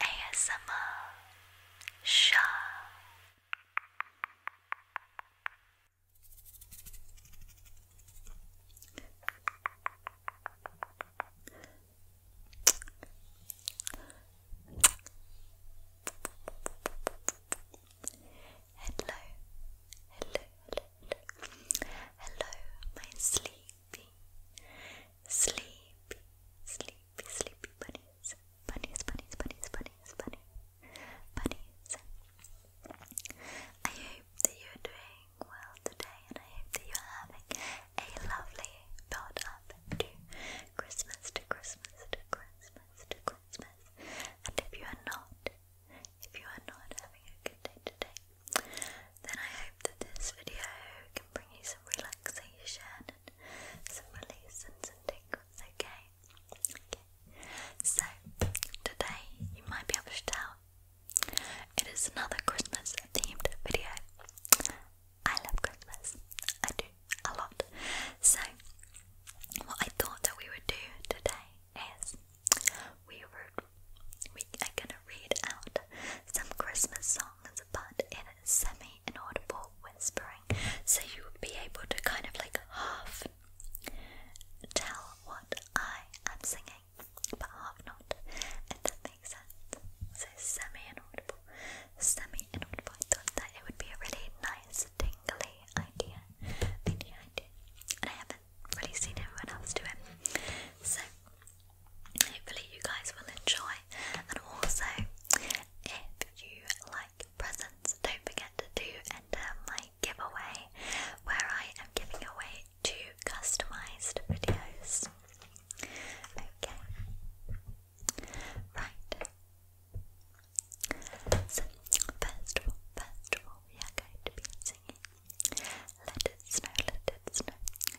ASMR Sha Hello, hello, hello, hello, hello, my sleepy, sleepy, sleepy, sleepy bunnies, bunnies, bunnies, bunnies, bunnies, bunnies, bunnies. I hope that you're doing well today, and I hope that you're having a lovely build up to Christmas, to Christmas, to Christmas, to Christmas. And if you are not, if you are not having a good day today, then I hope that this video can bring you some relaxation some release and some tingles, So today you might be able to tell it is another Christmas themed video. I love Christmas. I do a lot. So what I thought that we would do today is we were we are gonna read out some Christmas songs, but in semi inaudible whispering, so you would be able to kind of like half tell what I am singing, but half not, if that makes sense. So semi inaudible, semi inaudible. I thought that it would be a really nice, tingly idea, idea, idea, and I haven't really seen everyone else do it. So Hopefully, you guys will enjoy. And also, if you like presents, don't forget to do enter my giveaway where I am giving away two customized videos. Okay. Right. So, first of all, first of all, we are going to be singing Let It Snow, Let It Snow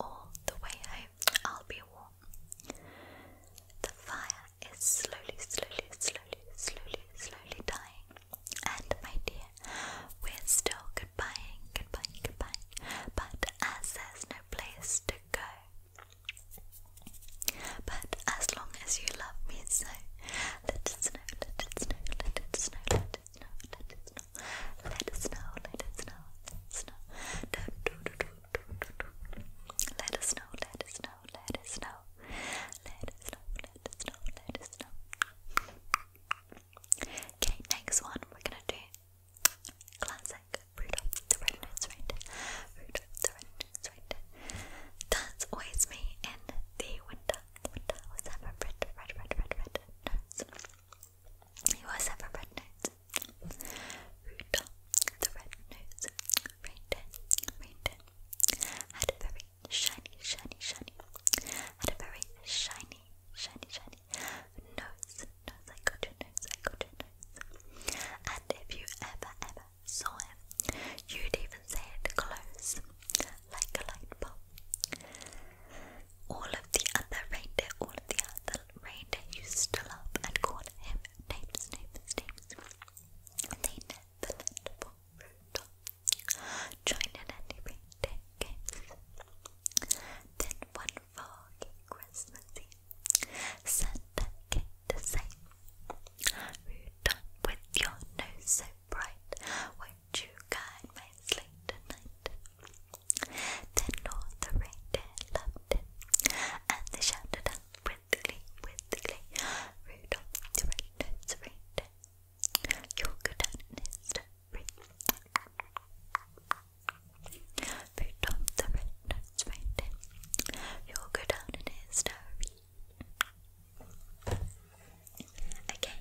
all the way home. I'll be warm. The fire is slowly, slowly, slowly, slowly, slowly dying. And my dear, we're still goodbying, goodbye, goodbye. But as there's no place to go, but as long as you love me so, let it snow, let it snow, let it snow, let it snow, let it snow, let it snow, let it snow, let it snow. Don't do let us know, let us know, let us know. Let us know, let us know, let us know. Okay, next one we're gonna do classic Rudolph the Red Nose Reindeer. Rudolph the Red Nose Reindeer. That's always me in the winter. Winter was ever red, red, red, red, red nose. He was ever red nose. Rudolph the red nose. Reindeer, reindeer. Had a very shiny, shiny, shiny. Had a very shiny, shiny, shiny nose. Nose, I got nose, I got nose. And if you ever, ever saw him, you'd even say it close, like a light bulb. All of the other reindeer, all of the other the reindeer used to love and call him names, names, names. They never let Rudolph join in any reindeer games. Then one foggy Christmas Eve, Santa came to say, Rudolph, with your nose so bright, won't you guide my sleigh tonight? The north right there it, and they shouted out brightly, brightly, Rudolph the red you'll go down history. Rudolph the red you'll go down history. Okay,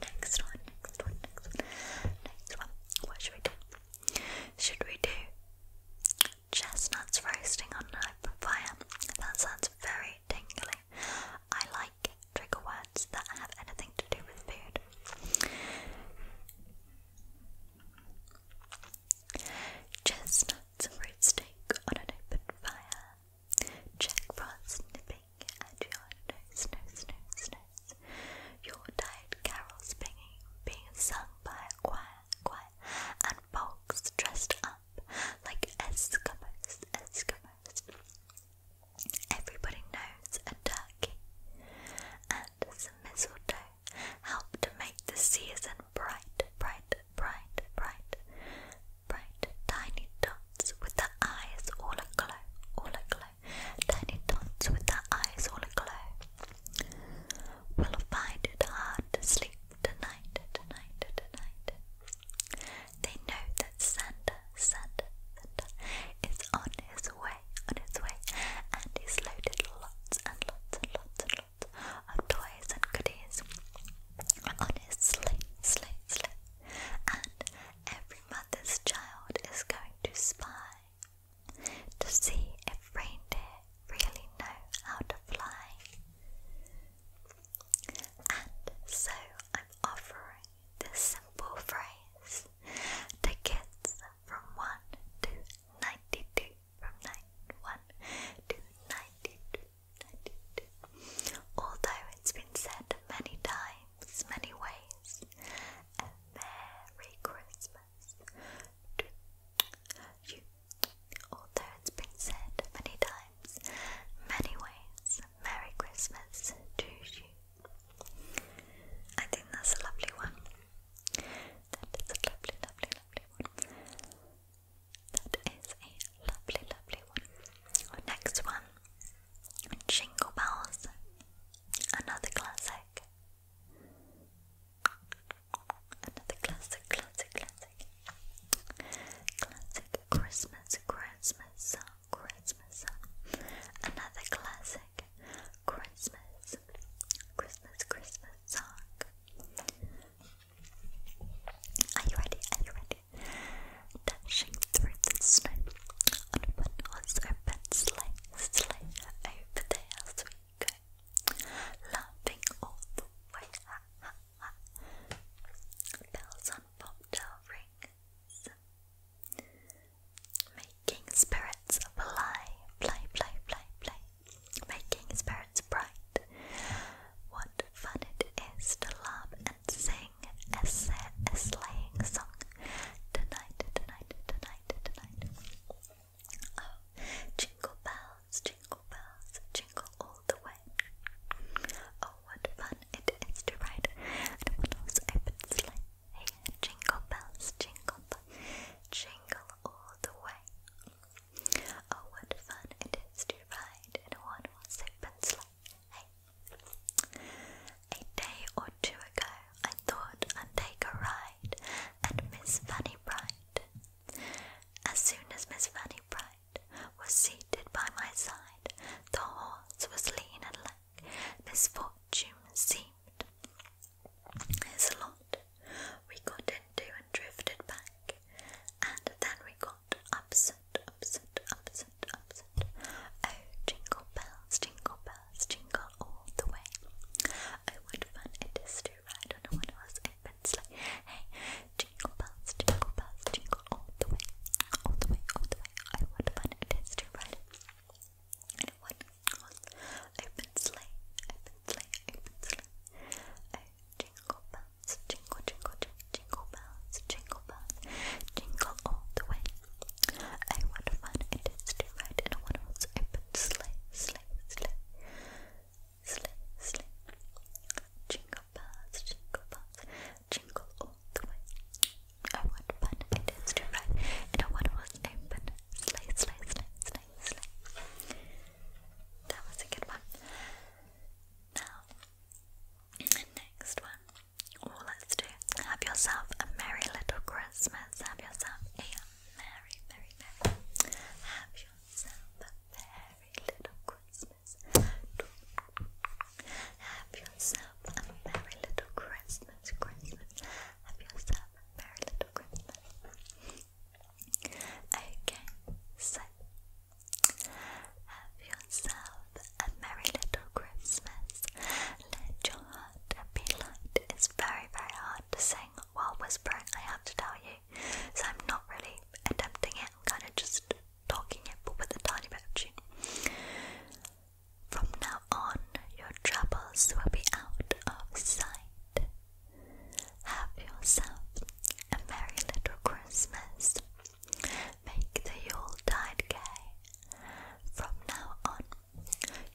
next one, next one, next one, next one. What should we do? Should we do chestnuts roasting on an open fire? That sounds very tingly. I like trigger words that have anything to do with food. Chestnuts roasting on an open fire. Jack frost nipping at your nose, nose, nose, your tired carols being, being sung by a choir, choir and folks dressed up like Eskimos, Eskimos. Everybody knows a turkey and some mistletoe help to make the season bright, bright, bright, bright, bright. Tiny dots with their eyes all aglow, all aglow tiny dots with their eyes all aglow. Will find it hard to sleep tonight, tonight, tonight. They know that Santa, Santa, Santa is on his way, on his way, and he's loaded lots and lots and lots and lots of toys and goodies on his sleigh, sleigh, sleigh. And every mother's child is going to spy, to see if reindeer really know how to fly. And so I'm offering this simple phrase to kids from 1 to 92, from 91 to 92, Although it's been said many times, many ways, a Merry Christmas. Although it's been said many times, many ways, Merry Christmas to you. I think that's a lovely one. That is a lovely, lovely, lovely one. That is a lovely, lovely one. next one, Jingle Bells, another classic. Another classic, classic, classic. Classic Christmas, Christmas, Christmas. Another classic Christmas, Christmas, Christmas song. Are you ready? Are you ready? Dashing through the snow on one horse open sleigh sleigh over there as we go, laughing all the way. Bells on bobtail rings, making spirits fly, fly, fly, fly, fly, making spirits bright. What fun it is to laugh and sing a, a sleighing song tonight, tonight, tonight, tonight. Oh, oh, jingle bells, jingle bells, jingle all the way. Oh, what fun it is to ride in a little open sleigh. Hey, jingle bells, jingle bells, jingle all the way. Oh, what fun it is to ride in a one-horse sleigh. Hey. A day or two ago, I thought i take a ride at Miss Fanny Bright. As soon as Miss Fanny Bright was seated by my side, the horse was lean and lank. Misfortune seemed his lot. We got into and drifted back, and then we got upset, upset, upset, upset. Oh, jingle bells, jingle bells jingle all the way. Oh, what fun it is to ride on a one-horse open sleigh! Hey, jingle bells, jingle bells, jingle all the way, all the way, all the way. Oh, what fun it is to ride on a one-horse open sleigh, open sleigh, open sleigh. Oh, jingle bells, jingle, jingle, jingle bells, jingle bells, jingle all the way, I what fun it is to ride in a one horse open sleigh, sleigh, sleigh, sleigh, sleigh. Jingle bells, jingle bells, jingle all the way. I what fun it is to ride in a one horse open sleigh, sleigh, sleigh, sleigh, sleigh. That was a good one. Now, next one. Well, let's do have yourself a merry little Christmas. Have yourself a merry, merry, merry. Have yourself a merry little Christmas. Have yourself a merry little Christmas, Christmas. Have yourself a merry little Christmas. Okay, have yourself a merry little Christmas. Let your heart be light as very, very hard to sing while whispering, I have to tell you. So I'm not really attempting it, I'm kind of just talking it, but with a tiny bit of tune. From now on, your troubles will be out of sight. Have yourself a merry little Christmas. Make the Yuletide gay. From now on,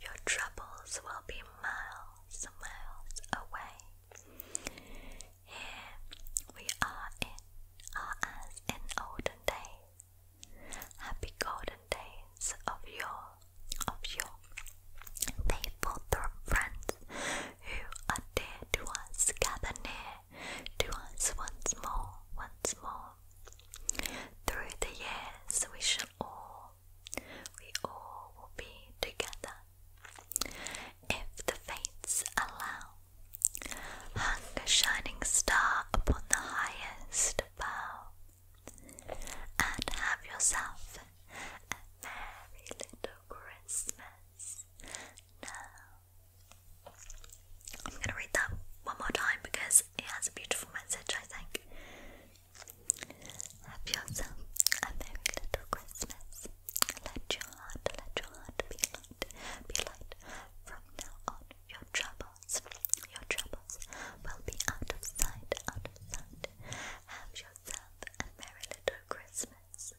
your troubles will be miles miles away. Here we are in are olden days, happy golden days of your of your faithful friends who are dear to us, gather near to us once more, once more, through the years, we shall all, we all will be together. If the fates allow, hang a shining star upon the highest bough, and have yourself a merry little Christmas now. I'm going to read that one more time because it has a beautiful message, I think. Have yourself a merry little Christmas. Let your heart, let your heart be light, be light. From now on, your troubles, your troubles will be out of sight, out of sight. Have yourself a merry little Christmas.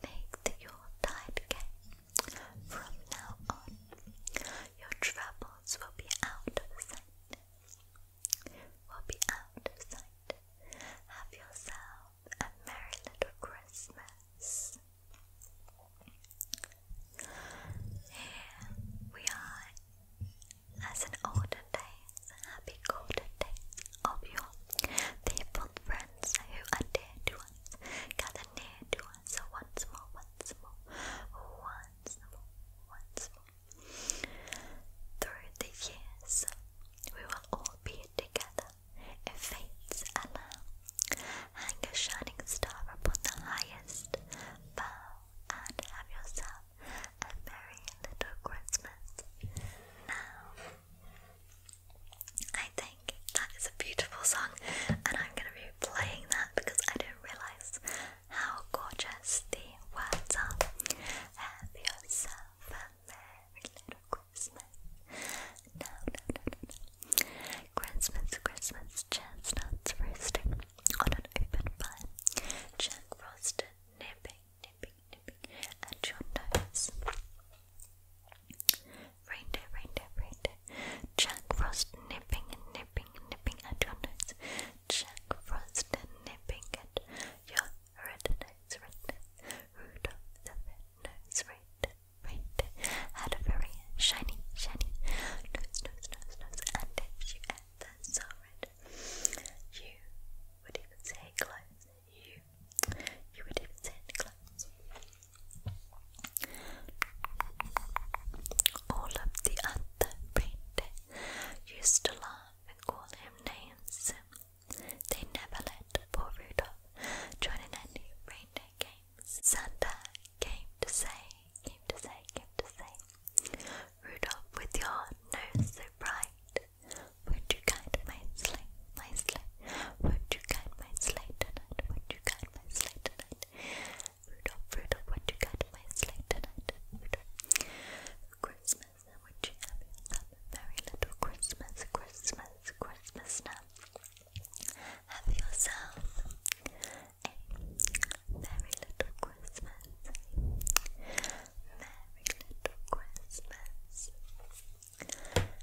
Make the Yuletide cake. From now on, your troubles will be out of sight, will be out of sight. Have yourself a merry little Christmas. Here we are, as in olden days, happy golden days of your faithful friends who are dear to us, near to us once more, once more, once more, once more. Through the years, we will all be together if fates allow. Hang a shining star upon the highest bough and have yourself a merry little Christmas. Now, I think that is a beautiful song, and I'm going to be playing that because I didn't realize how gorgeous the words are. Have yourself a merry little Christmas. Christmas, Christmas, chestnuts roasting on an open fire. Jack Frost nipping, nipping, nipping at your nose. Reindeer, reindeer, reindeer. Jack Frost nipping, nipping, nipping at your nose. Jack Frost nipping at your red nose, red nose. red nose, red red had a very shiny, shiny nose, nose, nose, nose. And if you ever saw it, you would even say close. You, you would even say close. All of the celebrate, used to laugh and call him names. They never let poor Rudolph join in any reindeer games. Santa came to say, came to say, came to say, Rudolph, with your nose so bright, would you guide my sleigh, my sleigh? Would you guide my sleigh tonight? Would you guide my sleigh tonight? Rudolph, Rudolph, what you got for your sleigh tonight? Rudolph, Christmas, and what you have yourself very little Christmas, Christmas, Christmas now. Have yourself a very little Christmas, very little Christmas now.